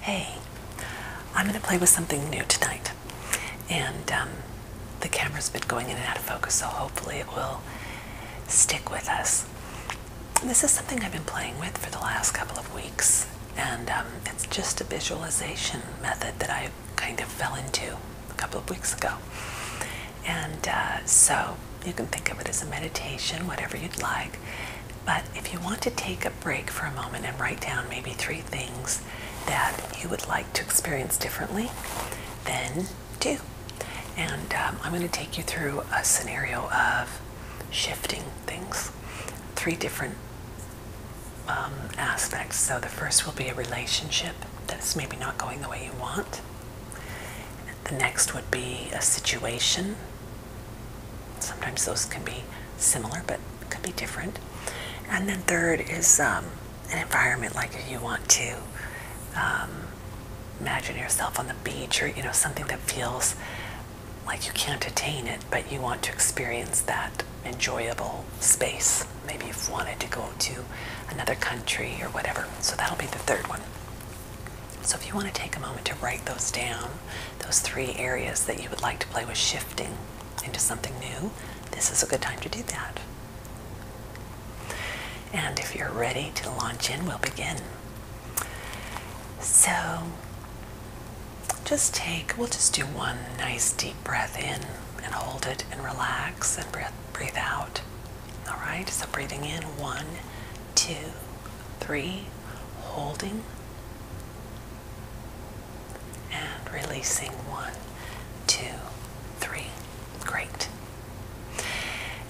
Hey, I'm going to play with something new tonight. And um, the camera's been going in and out of focus, so hopefully it will stick with us. This is something I've been playing with for the last couple of weeks, and um, it's just a visualization method that I kind of fell into a couple of weeks ago. And uh, so you can think of it as a meditation, whatever you'd like. But if you want to take a break for a moment and write down maybe three things that you would like to experience differently, then do. And um, I'm going to take you through a scenario of shifting things, three different um, aspects. So the first will be a relationship that's maybe not going the way you want. The next would be a situation. Sometimes those can be similar, but could be different. And then third is um, an environment like you want to um, imagine yourself on the beach or you know something that feels like you can't attain it, but you want to experience that enjoyable space. Maybe you have wanted to go to another country or whatever. So that'll be the third one. So if you want to take a moment to write those down, those three areas that you would like to play with shifting into something new, this is a good time to do that. And if you're ready to launch in, we'll begin. So just take, we'll just do one nice deep breath in and hold it and relax and breathe breathe out. All right, so breathing in one, two, three, holding and releasing one, two, three. Great.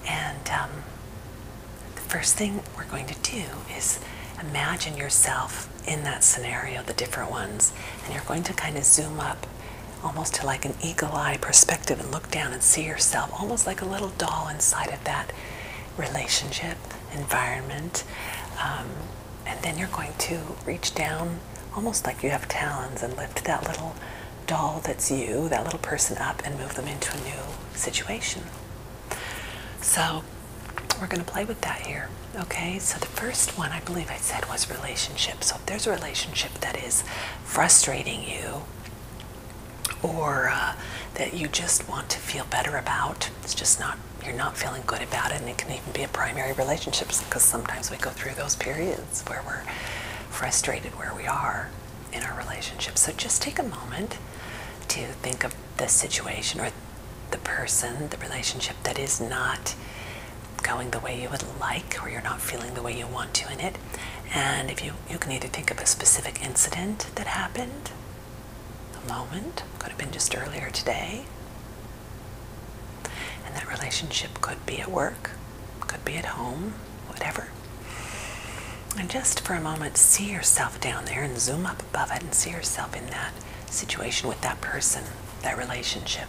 And um, the first thing we're going to do is imagine yourself in that scenario, the different ones, and you're going to kind of zoom up almost to like an eagle eye perspective and look down and see yourself almost like a little doll inside of that relationship environment um, and then you're going to reach down almost like you have talons and lift that little doll that's you that little person up and move them into a new situation so we're going to play with that here okay so the first one i believe i said was relationships if there's a relationship that is frustrating you or uh, that you just want to feel better about, it's just not, you're not feeling good about it, and it can even be a primary relationship because sometimes we go through those periods where we're frustrated where we are in our relationship. So just take a moment to think of the situation or the person, the relationship that is not going the way you would like or you're not feeling the way you want to in it and if you you can either think of a specific incident that happened the moment could have been just earlier today and that relationship could be at work could be at home whatever and just for a moment see yourself down there and zoom up above it and see yourself in that situation with that person that relationship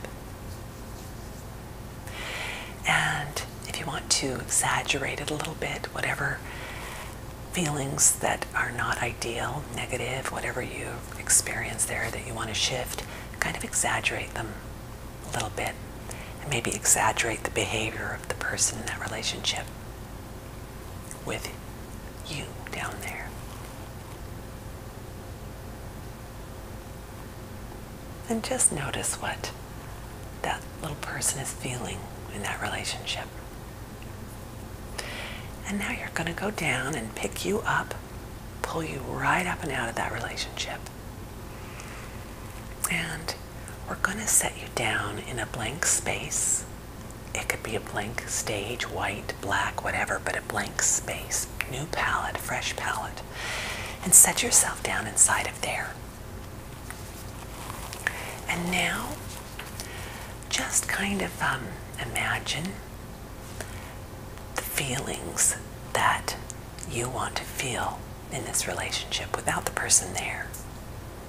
and if you want to exaggerate it a little bit, whatever feelings that are not ideal, negative, whatever you experience there that you want to shift, kind of exaggerate them a little bit. And maybe exaggerate the behavior of the person in that relationship with you down there. And just notice what that little person is feeling in that relationship. And now you're going to go down and pick you up, pull you right up and out of that relationship. And we're going to set you down in a blank space. It could be a blank stage, white, black, whatever, but a blank space, new palette, fresh palette, and set yourself down inside of there. And now, just kind of um, imagine the feelings that you want to feel in this relationship without the person there,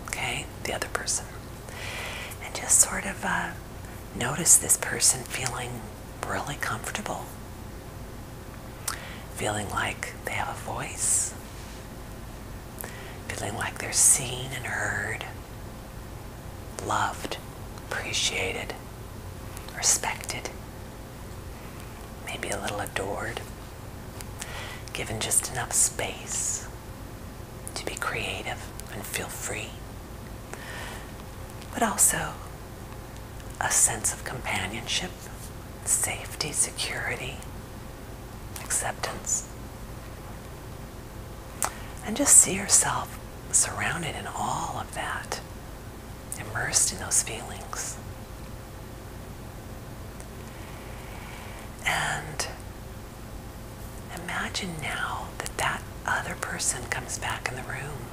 okay? The other person. And just sort of uh, notice this person feeling really comfortable, feeling like they have a voice, feeling like they're seen and heard, loved, appreciated, respected, maybe a little adored, given just enough space to be creative and feel free but also a sense of companionship, safety, security, acceptance. And just see yourself surrounded in all of that, immersed in those feelings. And Imagine now that that other person comes back in the room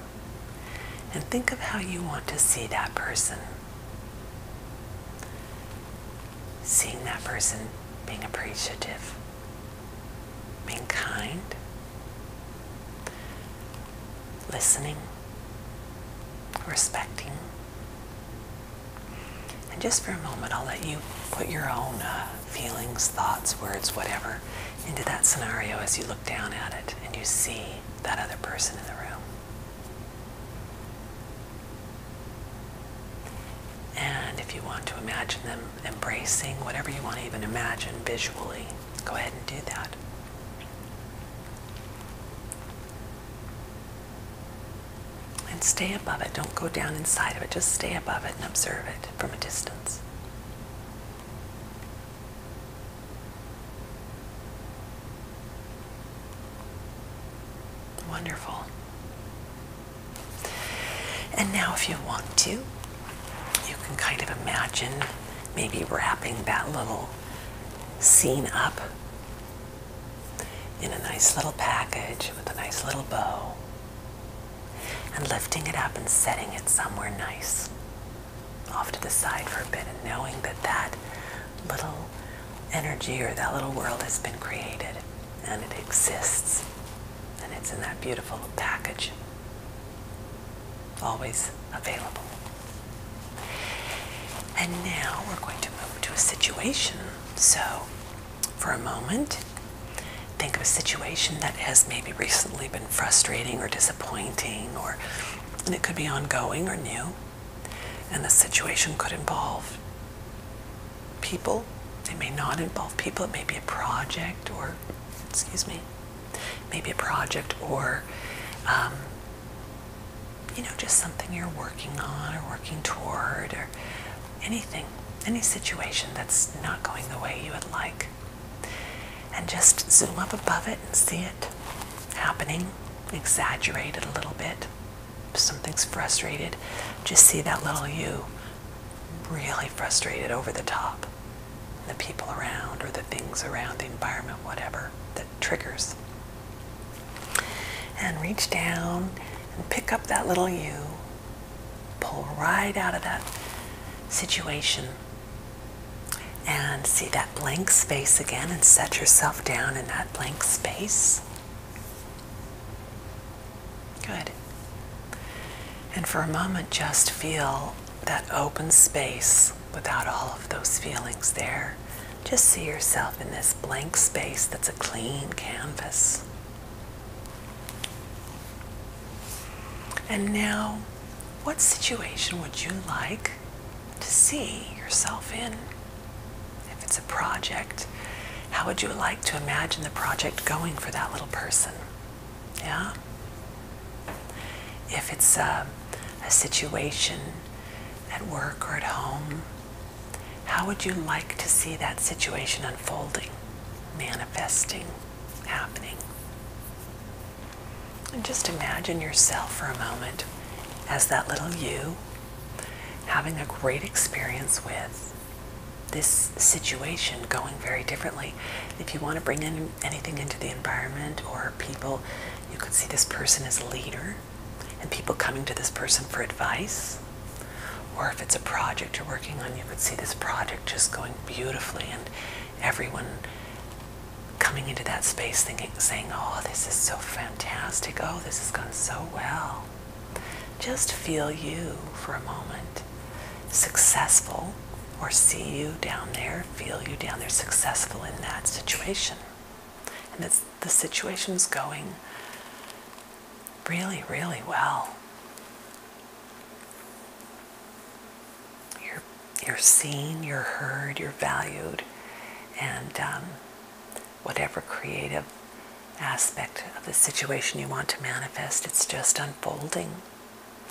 and think of how you want to see that person. Seeing that person being appreciative, being kind, listening, respecting. And just for a moment, I'll let you put your own uh, feelings, thoughts, words, whatever, into that scenario as you look down at it and you see that other person in the room. And if you want to imagine them embracing whatever you want to even imagine visually, go ahead and do that. And stay above it. Don't go down inside of it. Just stay above it and observe it from a distance. Wonderful. And now, if you want to, you can kind of imagine maybe wrapping that little scene up in a nice little package with a nice little bow and lifting it up and setting it somewhere nice off to the side for a bit and knowing that that little energy or that little world has been created and it exists and it's in that beautiful package always available and now we're going to move to a situation so for a moment. Think of a situation that has maybe recently been frustrating or disappointing, or it could be ongoing or new. And the situation could involve people. It may not involve people. It may be a project or, excuse me, maybe a project or, um, you know, just something you're working on or working toward or anything any situation that's not going the way you would like. And just zoom up above it and see it happening, exaggerate it a little bit. If something's frustrated, just see that little you really frustrated over the top. The people around, or the things around, the environment, whatever that triggers. And reach down and pick up that little you pull right out of that situation and see that blank space again and set yourself down in that blank space. Good. And for a moment, just feel that open space without all of those feelings there. Just see yourself in this blank space that's a clean canvas. And now, what situation would you like to see yourself in? If it's a project, how would you like to imagine the project going for that little person? Yeah? If it's uh, a, situation at work or at home, how would you like to see that situation unfolding, manifesting, happening? And just imagine yourself for a moment as that little you having a great experience with this situation going very differently. If you want to bring in anything into the environment or people, you could see this person as a leader and people coming to this person for advice, or if it's a project you're working on, you could see this project just going beautifully and everyone coming into that space thinking, saying, oh, this is so fantastic. Oh, this has gone so well. Just feel you for a moment. Successful, or see you down there, feel you down there, successful in that situation. And it's, the is going really, really well. You're, you're seen, you're heard, you're valued, and um, whatever creative aspect of the situation you want to manifest, it's just unfolding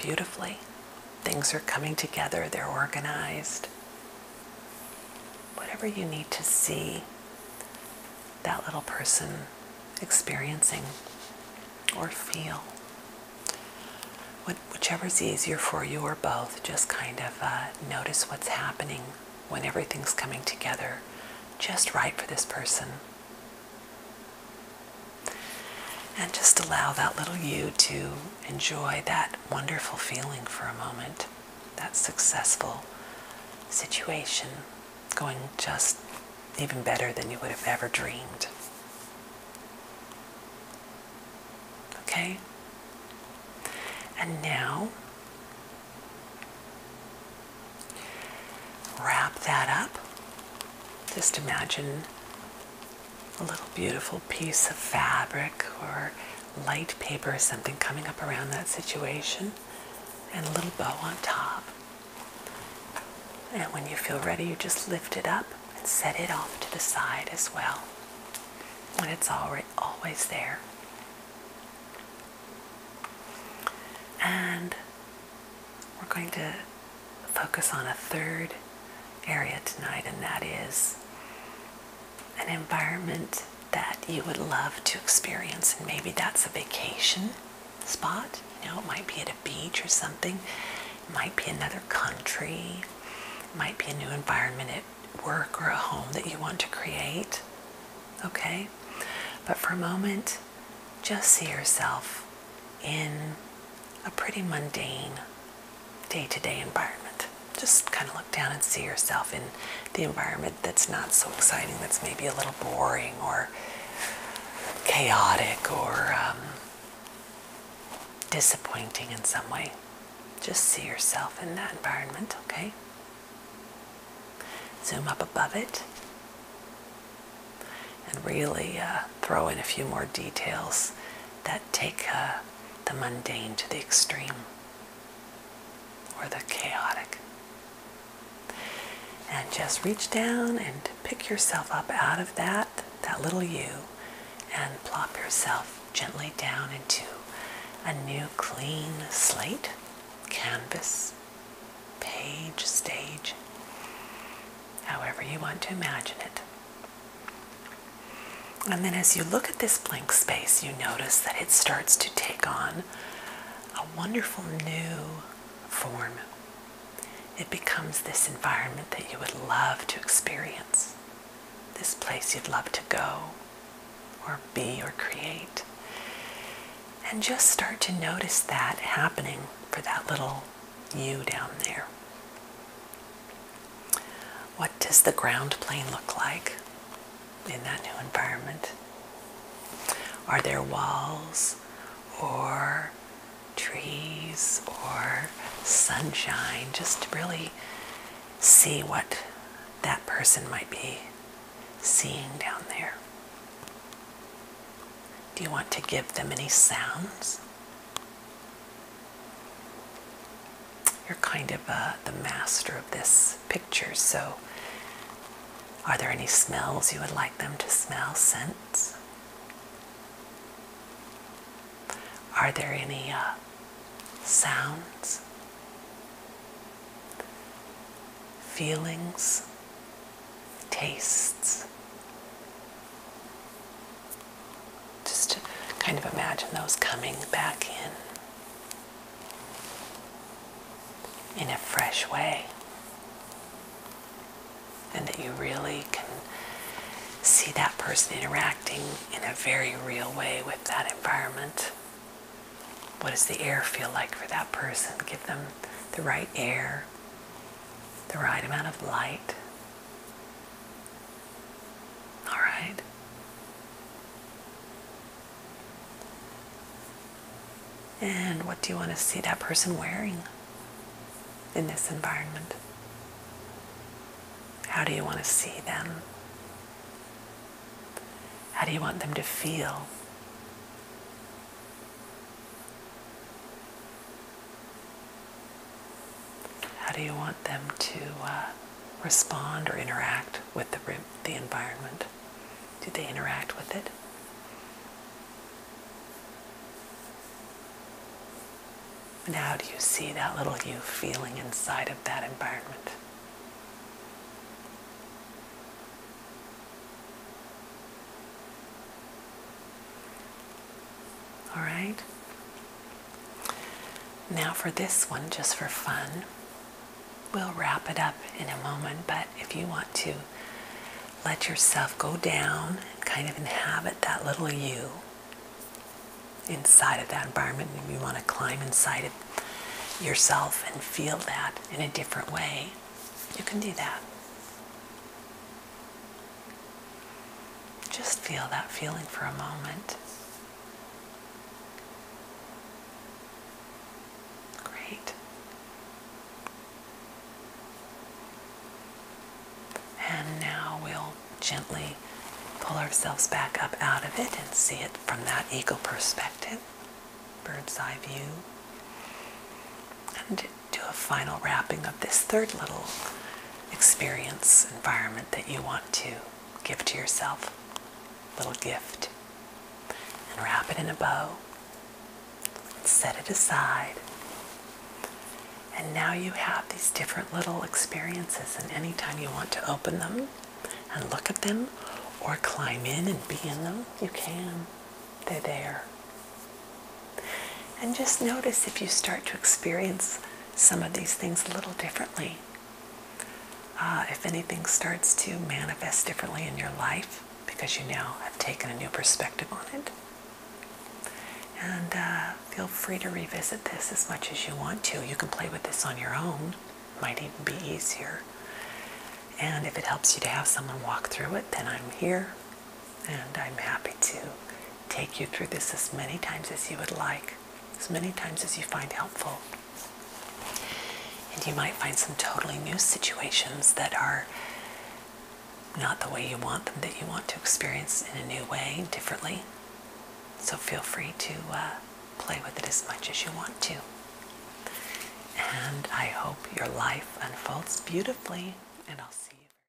beautifully. Things are coming together, they're organized. Whatever you need to see that little person experiencing or feel. whichever is easier for you or both, just kind of uh, notice what's happening when everything's coming together just right for this person. And just allow that little you to enjoy that wonderful feeling for a moment that successful situation going just even better than you would have ever dreamed. Okay? And now, wrap that up. Just imagine a little beautiful piece of fabric or light paper or something coming up around that situation and a little bow on top. And when you feel ready, you just lift it up and set it off to the side as well. And it's always there. And we're going to focus on a third area tonight, and that is an environment that you would love to experience, and maybe that's a vacation spot. You know, it might be at a beach or something. It might be another country. It might be a new environment at work or a home that you want to create. Okay? But for a moment, just see yourself in a pretty mundane day to day environment just kind of look down and see yourself in the environment that's not so exciting, that's maybe a little boring or chaotic or um, disappointing in some way. Just see yourself in that environment, okay? Zoom up above it and really uh, throw in a few more details that take uh, the mundane to the extreme or the chaotic. And just reach down and pick yourself up out of that, that little you, and plop yourself gently down into a new clean slate, canvas, page, stage, however you want to imagine it. And then as you look at this blank space, you notice that it starts to take on a wonderful new form. It becomes this environment that you would love to experience, this place you'd love to go or be or create. And just start to notice that happening for that little you down there. What does the ground plane look like in that new environment? Are there walls or trees or sunshine? Just to really see what that person might be seeing down there. Do you want to give them any sounds? You're kind of uh, the master of this picture, so are there any smells you would like them to smell? Scents? Are there any uh, sounds? Feelings? Tastes? Just kind of imagine those coming back in in a fresh way. And that you really can see that person interacting in a very real way with that environment. What does the air feel like for that person? Give them the right air, the right amount of light, all right. And what do you want to see that person wearing in this environment? How do you want to see them? How do you want them to feel? How do you want them to uh, respond or interact with the, the environment? Do they interact with it? And how do you see that little you feeling inside of that environment? All right? Now, for this one, just for fun, we'll wrap it up in a moment. But if you want to let yourself go down, kind of inhabit that little you inside of that environment, and you want to climb inside of yourself and feel that in a different way, you can do that. Just feel that feeling for a moment. Great. And now we'll gently pull ourselves back up out of it and see it from that eagle perspective, bird's eye view. And do a final wrapping of this third little experience, environment that you want to give to yourself. Little gift. And wrap it in a bow. and Set it aside. And now you have these different little experiences, and anytime you want to open them and look at them or climb in and be in them, you can. They're there. And just notice if you start to experience some of these things a little differently. Uh, if anything starts to manifest differently in your life because you now have taken a new perspective on it. And uh, feel free to revisit this as much as you want to. You can play with this on your own, might even be easier. And if it helps you to have someone walk through it, then I'm here and I'm happy to take you through this as many times as you would like, as many times as you find helpful. And you might find some totally new situations that are not the way you want them, that you want to experience in a new way, differently. So feel free to uh, play with it as much as you want to. And I hope your life unfolds beautifully, and I'll see you.